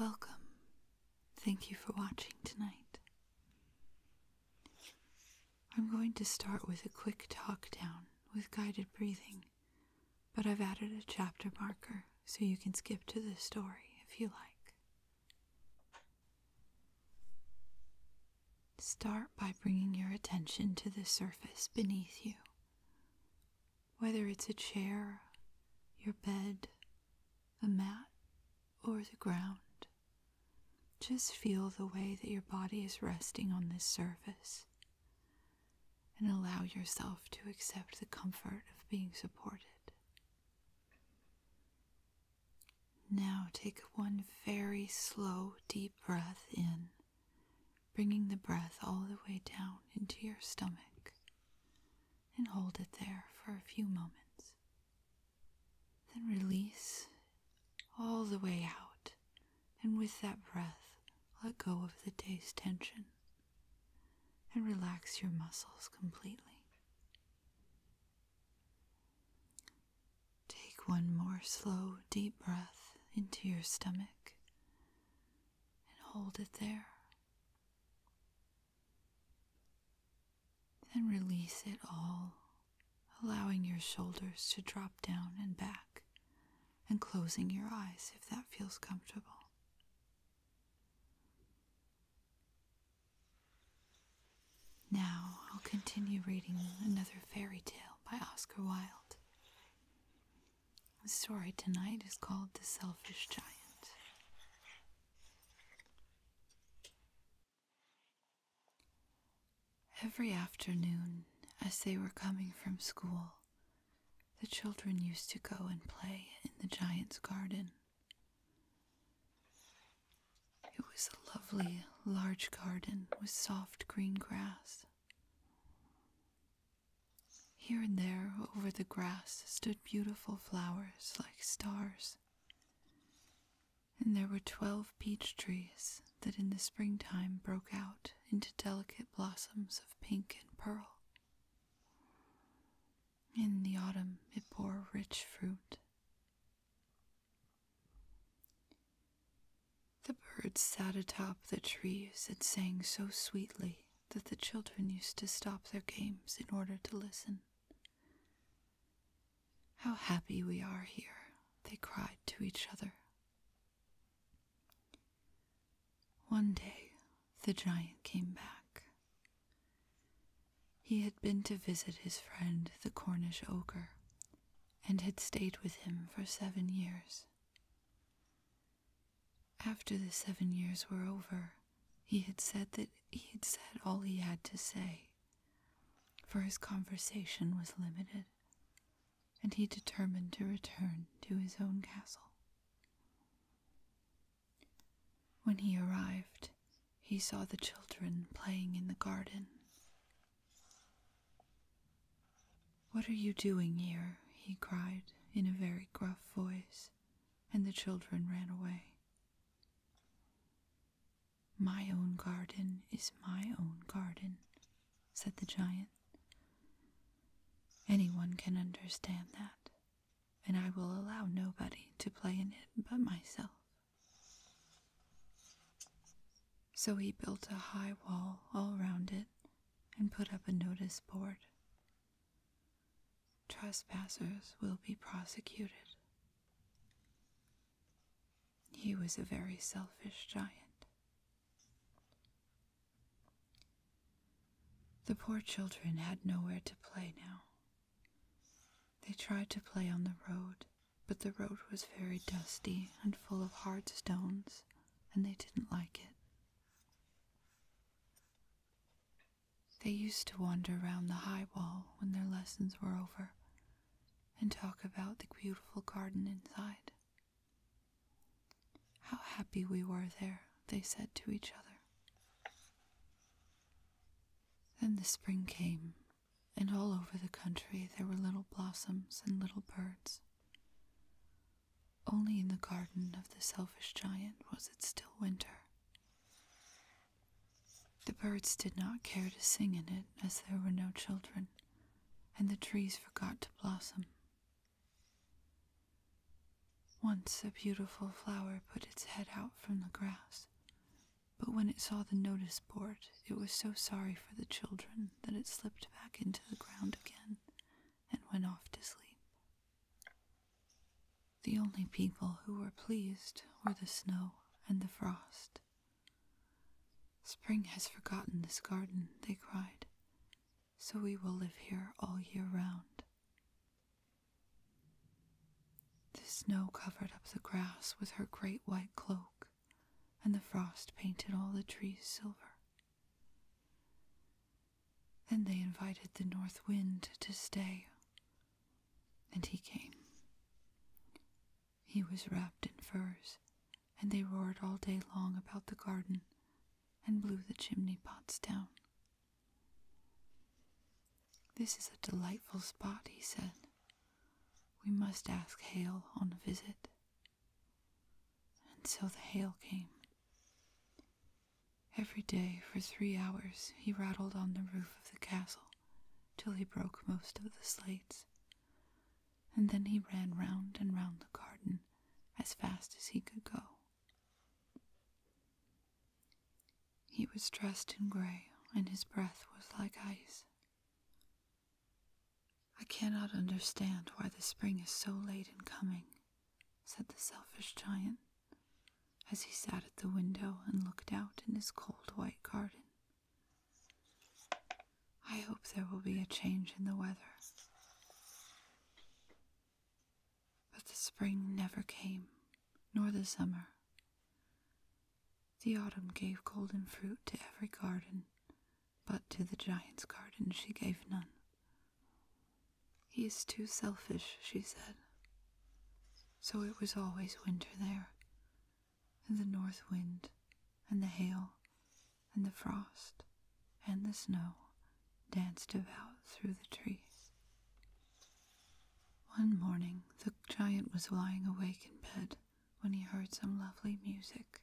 Welcome. Thank you for watching tonight. I'm going to start with a quick talk down with guided breathing, but I've added a chapter marker so you can skip to the story if you like. Start by bringing your attention to the surface beneath you. Whether it's a chair, your bed, a mat, or the ground, just feel the way that your body is resting on this surface and allow yourself to accept the comfort of being supported. Now take one very slow, deep breath in, bringing the breath all the way down into your stomach, and hold it there for a few moments. Then release all the way out, and with that breath, let go of the day's tension and relax your muscles completely. Take one more slow, deep breath into your stomach and hold it there. Then release it all, allowing your shoulders to drop down and back and closing your eyes if that feels comfortable. Now I'll continue reading another fairy tale by Oscar Wilde. The story tonight is called The Selfish Giant. Every afternoon, as they were coming from school, the children used to go and play in the giant's garden. It was a lovely, large garden with soft green grass. Here and there over the grass stood beautiful flowers like stars. And there were twelve peach trees that in the springtime broke out into delicate blossoms of pink and pearl. In the autumn it bore rich fruit. The birds sat atop the trees and sang so sweetly that the children used to stop their games in order to listen. How happy we are here, they cried to each other. One day the giant came back. He had been to visit his friend the Cornish ogre and had stayed with him for seven years. After the seven years were over, he had said that he had said all he had to say, for his conversation was limited, and he determined to return to his own castle. When he arrived, he saw the children playing in the garden. What are you doing here? he cried in a very gruff voice, and the children ran away. My own garden is my own garden, said the giant. Anyone can understand that and I will allow nobody to play in it but myself. So he built a high wall all round it and put up a notice board. Trespassers will be prosecuted. He was a very selfish giant. The poor children had nowhere to play now. They tried to play on the road, but the road was very dusty and full of hard stones, and they didn't like it. They used to wander round the high wall when their lessons were over and talk about the beautiful garden inside. How happy we were there, they said to each other. Then the spring came, and all over the country there were little blossoms and little birds. Only in the garden of the selfish giant was it still winter. The birds did not care to sing in it as there were no children, and the trees forgot to blossom once a beautiful flower put its head out from the grass, but when it saw the notice board, it was so sorry for the children that it slipped back into the ground again and went off to sleep. The only people who were pleased were the snow and the frost. Spring has forgotten this garden, they cried, so we will live here all year round. The snow covered up the grass with her great white cloak, and the frost painted all the trees silver. Then they invited the north wind to stay, and he came. He was wrapped in furs and they roared all day long about the garden and blew the chimney pots down. This is a delightful spot, he said. We must ask Hale on a visit. And so the Hale came. Every day for three hours he rattled on the roof of the castle till he broke most of the slates, and then he ran round and round the garden as fast as he could go. He was dressed in gray, and his breath was like ice. I cannot understand why the spring is so late in coming, said the selfish giant, as he sat at the window and looked out in his cold white garden. I hope there will be a change in the weather. But the spring never came, nor the summer. The autumn gave golden fruit to every garden, but to the giant's garden she gave none. He is too selfish, she said. So it was always winter there, and the north wind, and the hail, and the frost, and the snow danced about through the trees. One morning the giant was lying awake in bed when he heard some lovely music.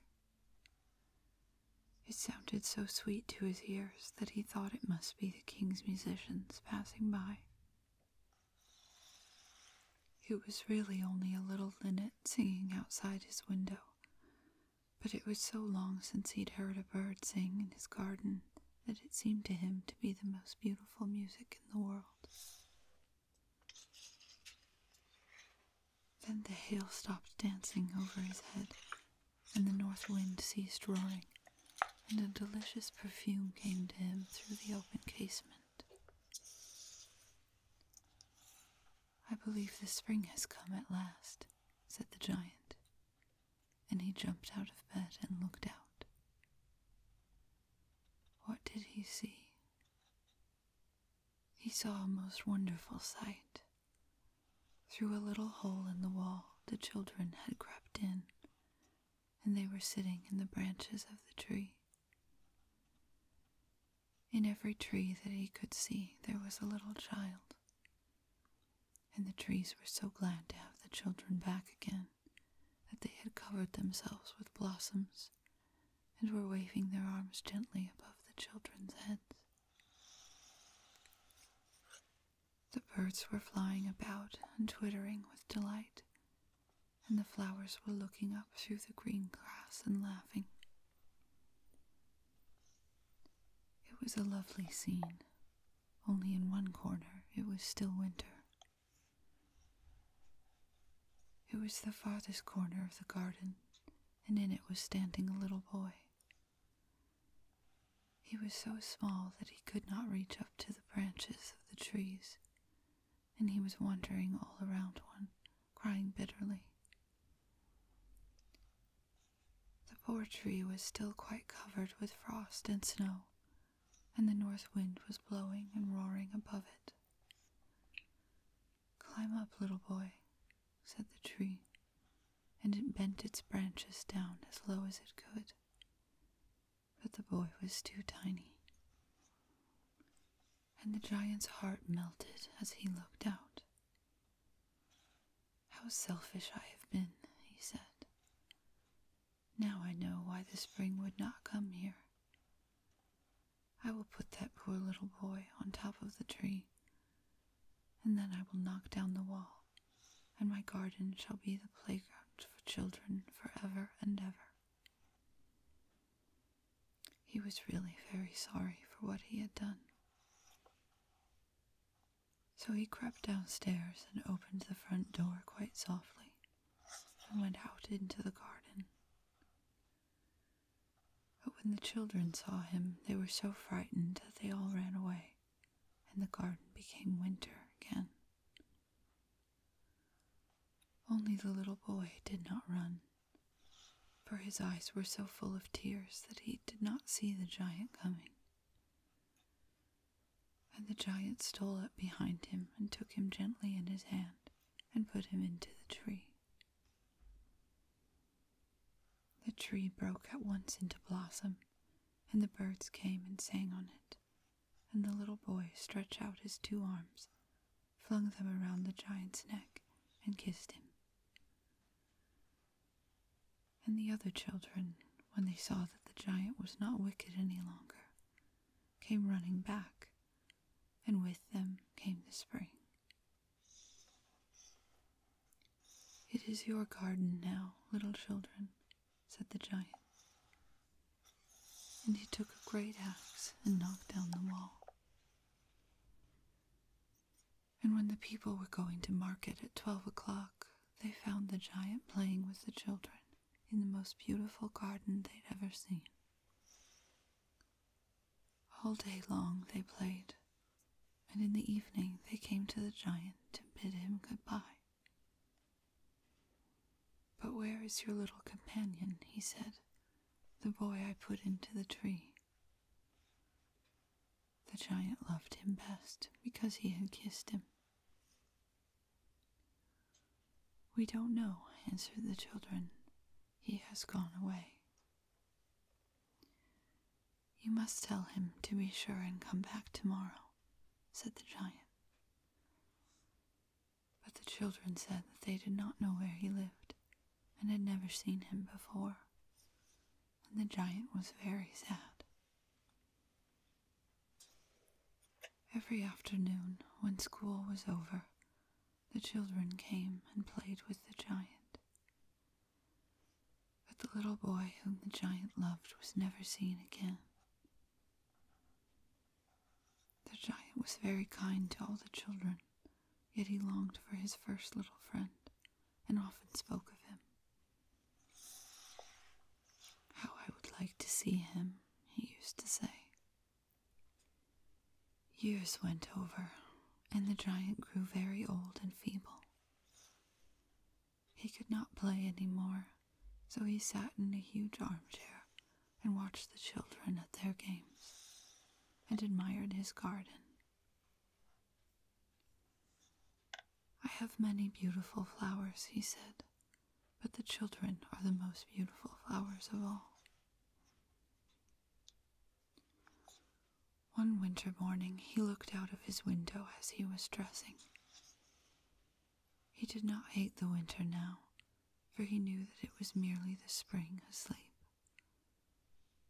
It sounded so sweet to his ears that he thought it must be the king's musicians passing by. It was really only a little linnet singing outside his window, but it was so long since he'd heard a bird sing in his garden that it seemed to him to be the most beautiful music in the world. Then the hail stopped dancing over his head, and the north wind ceased roaring, and a delicious perfume came to him through the open casement. I believe the spring has come at last, said the giant, and he jumped out of bed and looked out. What did he see? He saw a most wonderful sight. Through a little hole in the wall, the children had crept in, and they were sitting in the branches of the tree. In every tree that he could see, there was a little child. And the trees were so glad to have the children back again that they had covered themselves with blossoms and were waving their arms gently above the children's heads. The birds were flying about and twittering with delight and the flowers were looking up through the green grass and laughing. It was a lovely scene, only in one corner it was still winter. It was the farthest corner of the garden, and in it was standing a little boy. He was so small that he could not reach up to the branches of the trees, and he was wandering all around one, crying bitterly. The poor tree was still quite covered with frost and snow, and the north wind was blowing and roaring above it. Climb up, little boy, said the tree, and it bent its branches down as low as it could but the boy was too tiny. And the giant's heart melted as he looked out. How selfish I have been, he said. Now I know why the spring would not come here. I will put that poor little boy on top of the tree, and then I will knock down the wall, and my garden shall be the playground for children forever and ever. He was really very sorry for what he had done. So he crept downstairs and opened the front door quite softly and went out into the garden. But when the children saw him, they were so frightened that they all ran away, and the garden became winter again. Only the little boy did not run, for his eyes were so full of tears that he did not see the giant coming. And the giant stole up behind him and took him gently in his hand and put him into the tree. The tree broke at once into blossom, and the birds came and sang on it and the little boy stretched out his two arms, flung them around the giant's neck, and kissed him. And the other children, when they saw that the giant was not wicked any longer, came running back, and with them came the spring. It is your garden now, little children, said the giant. And he took a great axe and knocked down the wall. And when the people were going to market at twelve o'clock, they found the giant playing with the children in the most beautiful garden they'd ever seen. All day long they played, and in the evening they came to the giant to bid him good goodbye. But where is your little companion? he said, the boy I put into the tree. The giant loved him best because he had kissed him. We don't know, answered the children. He has gone away. You must tell him to be sure and come back tomorrow, said the giant. But the children said that they did not know where he lived and had never seen him before, and the giant was very sad. Every afternoon, when school was over, the children came and played with the giant. But the little boy whom the giant loved was never seen again. The giant was very kind to all the children, yet he longed for his first little friend and often spoke of him. How I would like to see him, he used to say. Years went over, and the giant grew very old and feeble. He could not play any more, so he sat in a huge armchair and watched the children at their games and admired his garden. I have many beautiful flowers, he said, but the children are the most beautiful flowers of all. One winter morning he looked out of his window as he was dressing he did not hate the winter now, for he knew that it was merely the spring asleep,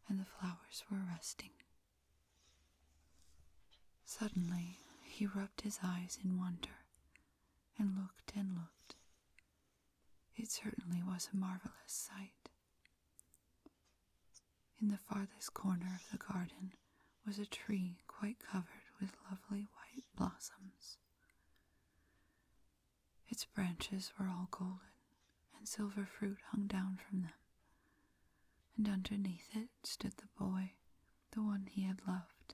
and the flowers were resting. Suddenly, he rubbed his eyes in wonder and looked and looked. It certainly was a marvelous sight. In the farthest corner of the garden was a tree quite covered with lovely white blossoms. Its branches were all golden, and silver fruit hung down from them. And underneath it stood the boy, the one he had loved.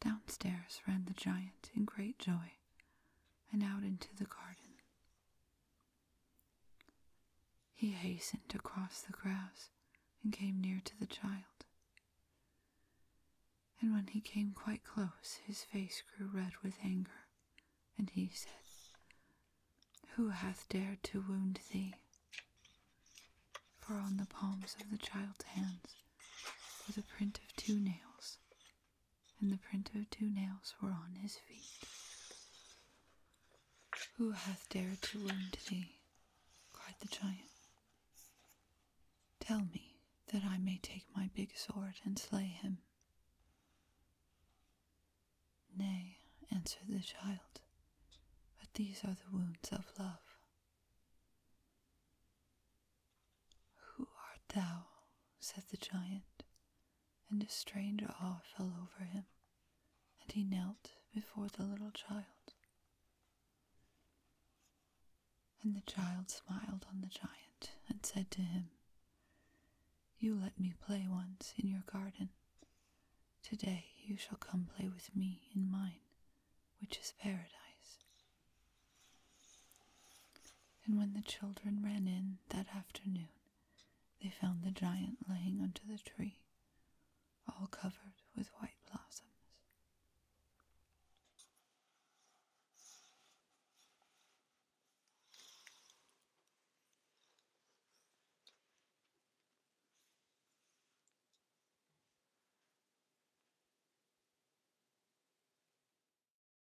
Downstairs ran the giant in great joy, and out into the garden. He hastened across the grass and came near to the child. And when he came quite close, his face grew red with anger, and he said, Who hath dared to wound thee? For on the palms of the child's hands were the print of two nails, and the print of two nails were on his feet. Who hath dared to wound thee? cried the giant. Tell me, that I may take my big sword and slay him. Nay, answered the child, but these are the wounds of love. Who art thou? said the giant, and a strange awe fell over him, and he knelt before the little child. And the child smiled on the giant and said to him, You let me play once in your garden. Today you shall come play with me in mine, which is paradise and when the children ran in that afternoon, they found the giant lying under the tree, all covered with white blossoms.